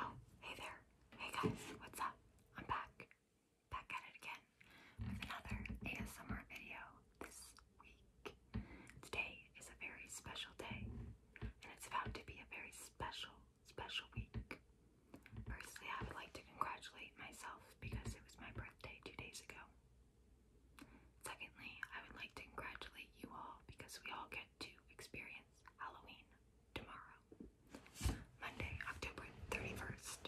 Oh, hey there. Hey guys, what's up? I'm back. Back at it again with another ASMR video this week. Today is a very special day, and it's about to be a very special, special week. Firstly, I would like to congratulate myself because it was my birthday two days ago. Secondly, I would like to congratulate you all because we all get to experience Halloween tomorrow, Monday, October 31st.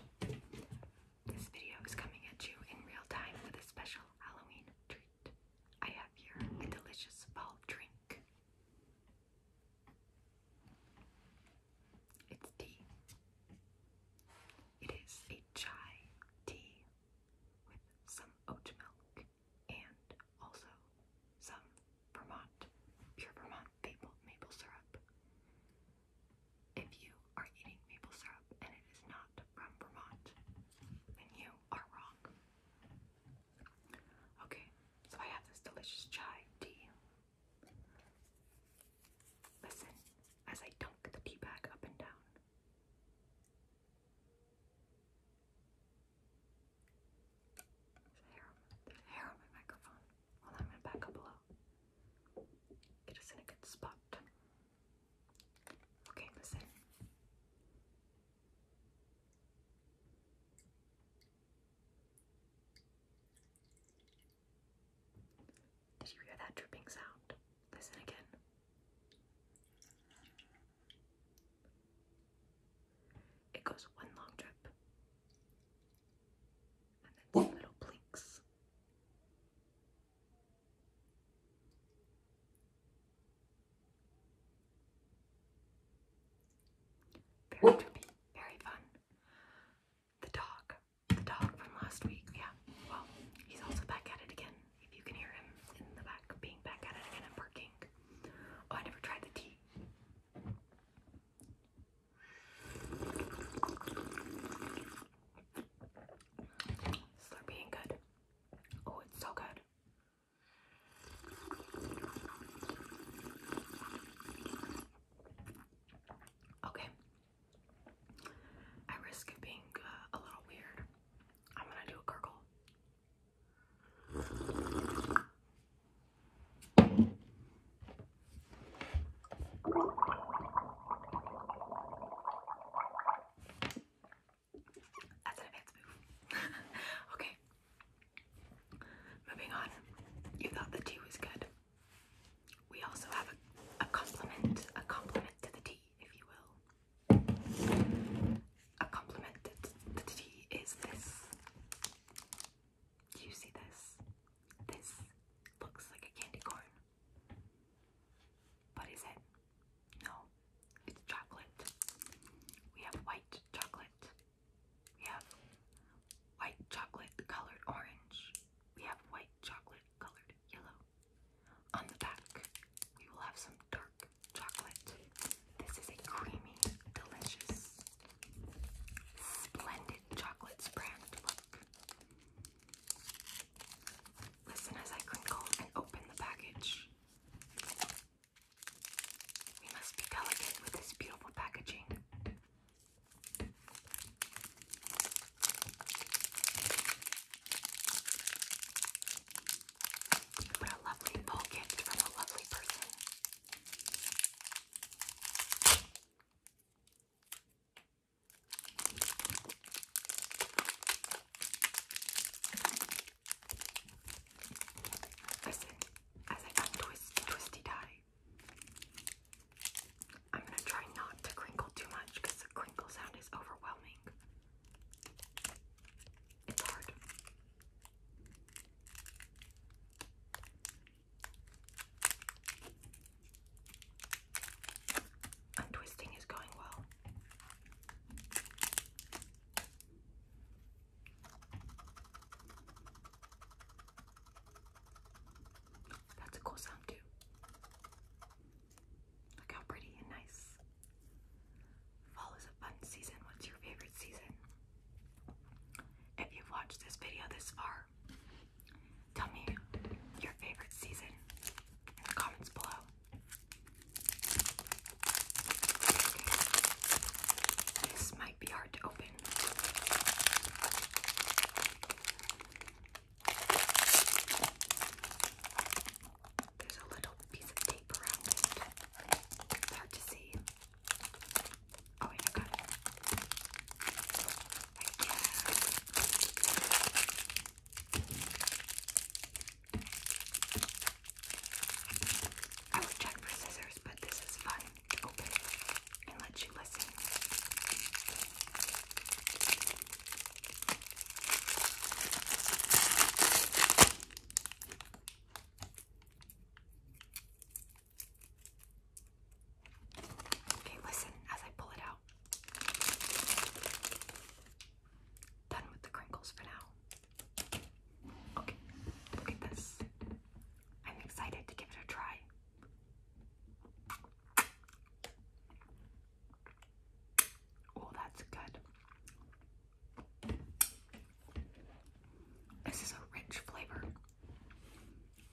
This video is coming at you in real time with a special Halloween treat. I have here a delicious fall drink. It's tea. It is a chai tea with some oat milk and also some Vermont, pure Vermont maple, maple syrup. If you are eating maple syrup and it is not from Vermont, then you are wrong. Okay, so I have this delicious chai tea. Listen as I dunk the tea bag up and down hair on my microphone. Well, I'm gonna back up a little. Get us in a good spot. Okay, listen. Did you hear that dripping sound? Listen again. It goes one long drip. And then some little blinks. Very trippy, very fun. The dog, the dog from last week, yeah. Well, he's also back at it again. If you can hear him in the back, being back at it again and Oh, I never tried the tea Slurpee ain't good. Oh, it's so good. Okay. I risk being uh, a little weird. I'm gonna do a gurgle. That's an advanced move. okay. Moving on. You thought the tea was good. We also have a, compliment, a compliment to the tea, if you will a compliment that tea is this. Do you see this? This looks like a candy corn. but What is it? No, it's chocolate. We have white chocolate. We have white chocolate colored orange. We have white chocolate colored yellow. On the back, we will have some dark chocolate. This is a creamy, delicious, splendid chocolate brand look. Listen as I crinkle and open the package. We must be delicate with this beautiful packaging. What a lovely bulk gift from a lovely person. Listen, as I untwist twisty tie, I'm gonna try not to crinkle too much because the crinkle sound is overwhelming. Untwisting is going well. That's a cool sound too. Look how pretty and nice. Fall is a fun season. What's your favorite season? If you've watched this video this far, tell me your favorite season in the comments below. This might be hard to open. There's a little piece of tape around it. hard to see. Oh wait, I got check for scissors, but this is fun to open and let you listen. Okay, listen as I pull it out. Done with the crinkles for now. Okay, look at this. I'm excited to give it a try. Oh, that's good. This is a rich flavor.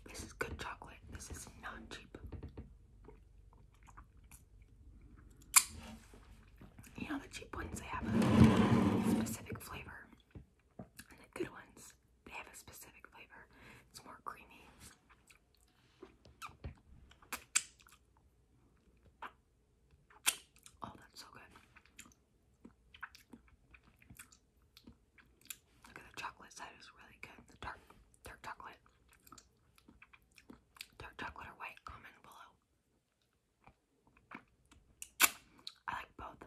This is good chocolate. This is not cheap. You know, the cheap ones, they have a specific flavor. And the good ones, they have a specific flavor. It's more creamy. Oh, that's so good. Look at the chocolate side is really good. The dark dark chocolate. Dark chocolate or white, comment below. I like both.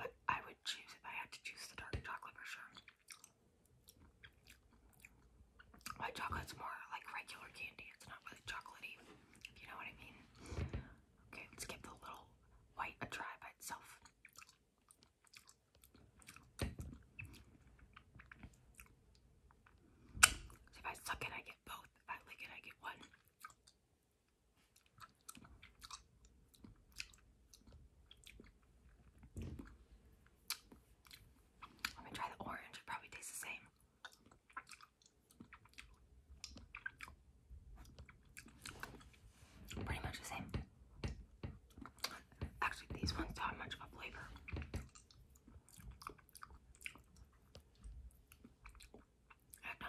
But I would choose if I had to choose the dark chocolate for sure. White chocolate's more like regular candy. It's not really chocolatey, if you know what I mean. Okay, let's give the little white a try by itself. if I suck it, I get both. If I lick it, I get one. Let me try the orange. It probably tastes the same. Pretty much the same. Actually, these ones don't have much of a flavor. not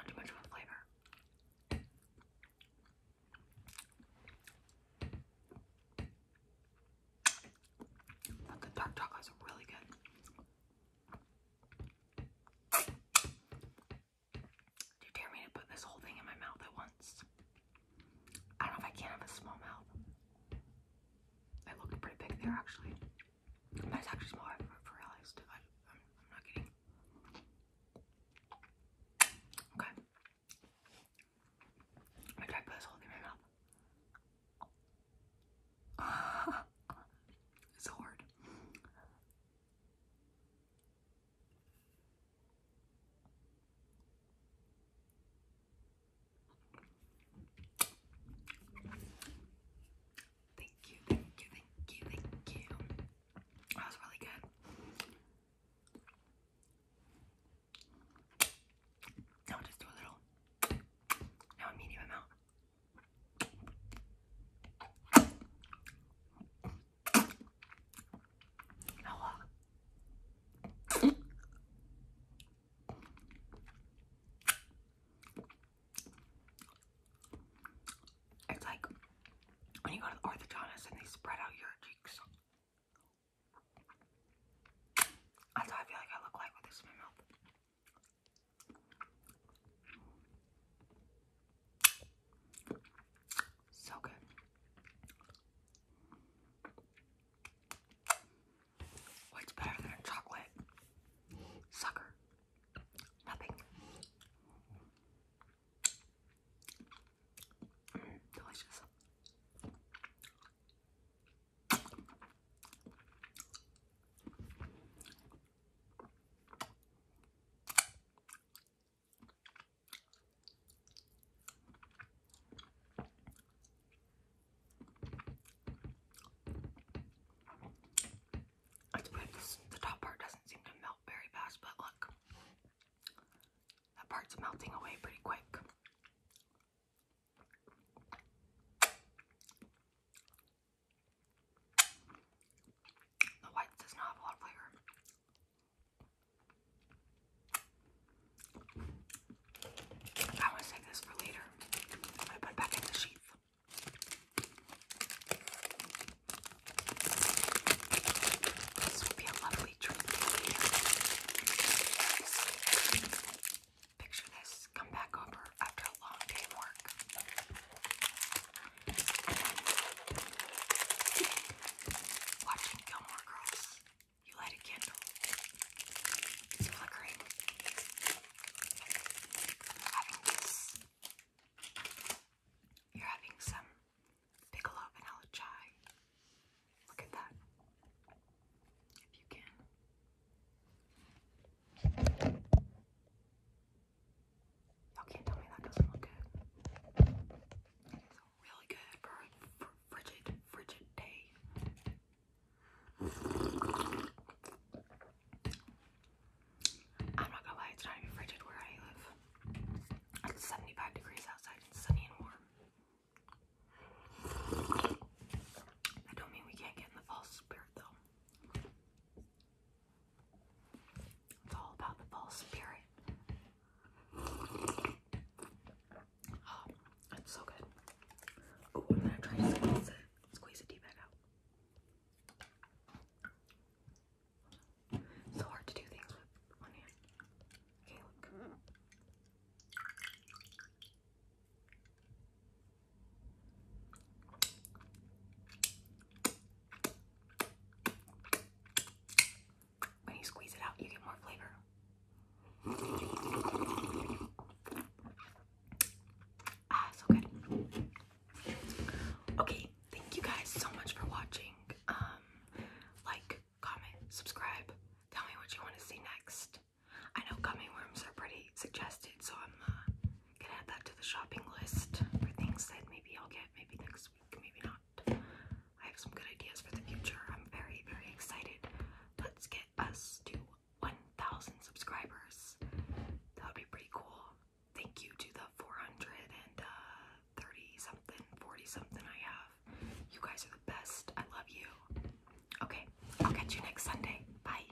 too much of a flavor. the dark chocolates are really good. Do you dare me to put this whole thing in my mouth at once? I don't know if I can have a small mouth. I looked pretty big there actually. That's actually small. I've realized. I, am not kidding. Okay. Like, I put this whole thing in my mouth. it's hard. Thank you, thank you, thank you, thank you. That was really good. Now just do a little. Now i medium amount. It's like when you go to the orthodontist and they spread out your cheeks. I feel like I look like with this mouth. So good. What's better than chocolate? Sucker. Nothing. Mm, delicious the top part doesn't seem to melt very fast, but look, that part's melting away pretty quick. The white does not have a lot of flavor. I'm to save this for later. i put it back in the sheath. This would be a lovely treat. Picture this. Come back over after a long day work. Watching Gilmore Girls, you light a candle. It's flickering. you You're having some Bigelow vanilla chai. Look at that. If you can. Y'all can't tell me that doesn't look good. It is really good for a frigid, frigid day. I'm not gonna lie, it's not even frigid where I live. It's 75 degrees outside, it's sunny and warm. I don't mean we can't get in the fall spirit though. It's all about the fall spirit. Oh, it's so good. Oh, I'm gonna try to squeeze it. Squeeze the tea bag out. So hard to do things with one hand. Okay, look. When you squeeze it out, you get more flavor. Ah, so good. Okay, thank you guys so much for watching. Um, like, comment, subscribe. Tell me what you want to see next. I know gummy worms are pretty suggested, so I'm uh, can add that to the shopping list things that maybe I'll get maybe next week, maybe not. I have some good ideas for the future. I'm very, very excited. Let's get us to 1,000 subscribers. That would be pretty cool. Thank you to the 430 uh, something, 40 something I have. You guys are the best. I love you. Okay, I'll catch you next Sunday. Bye.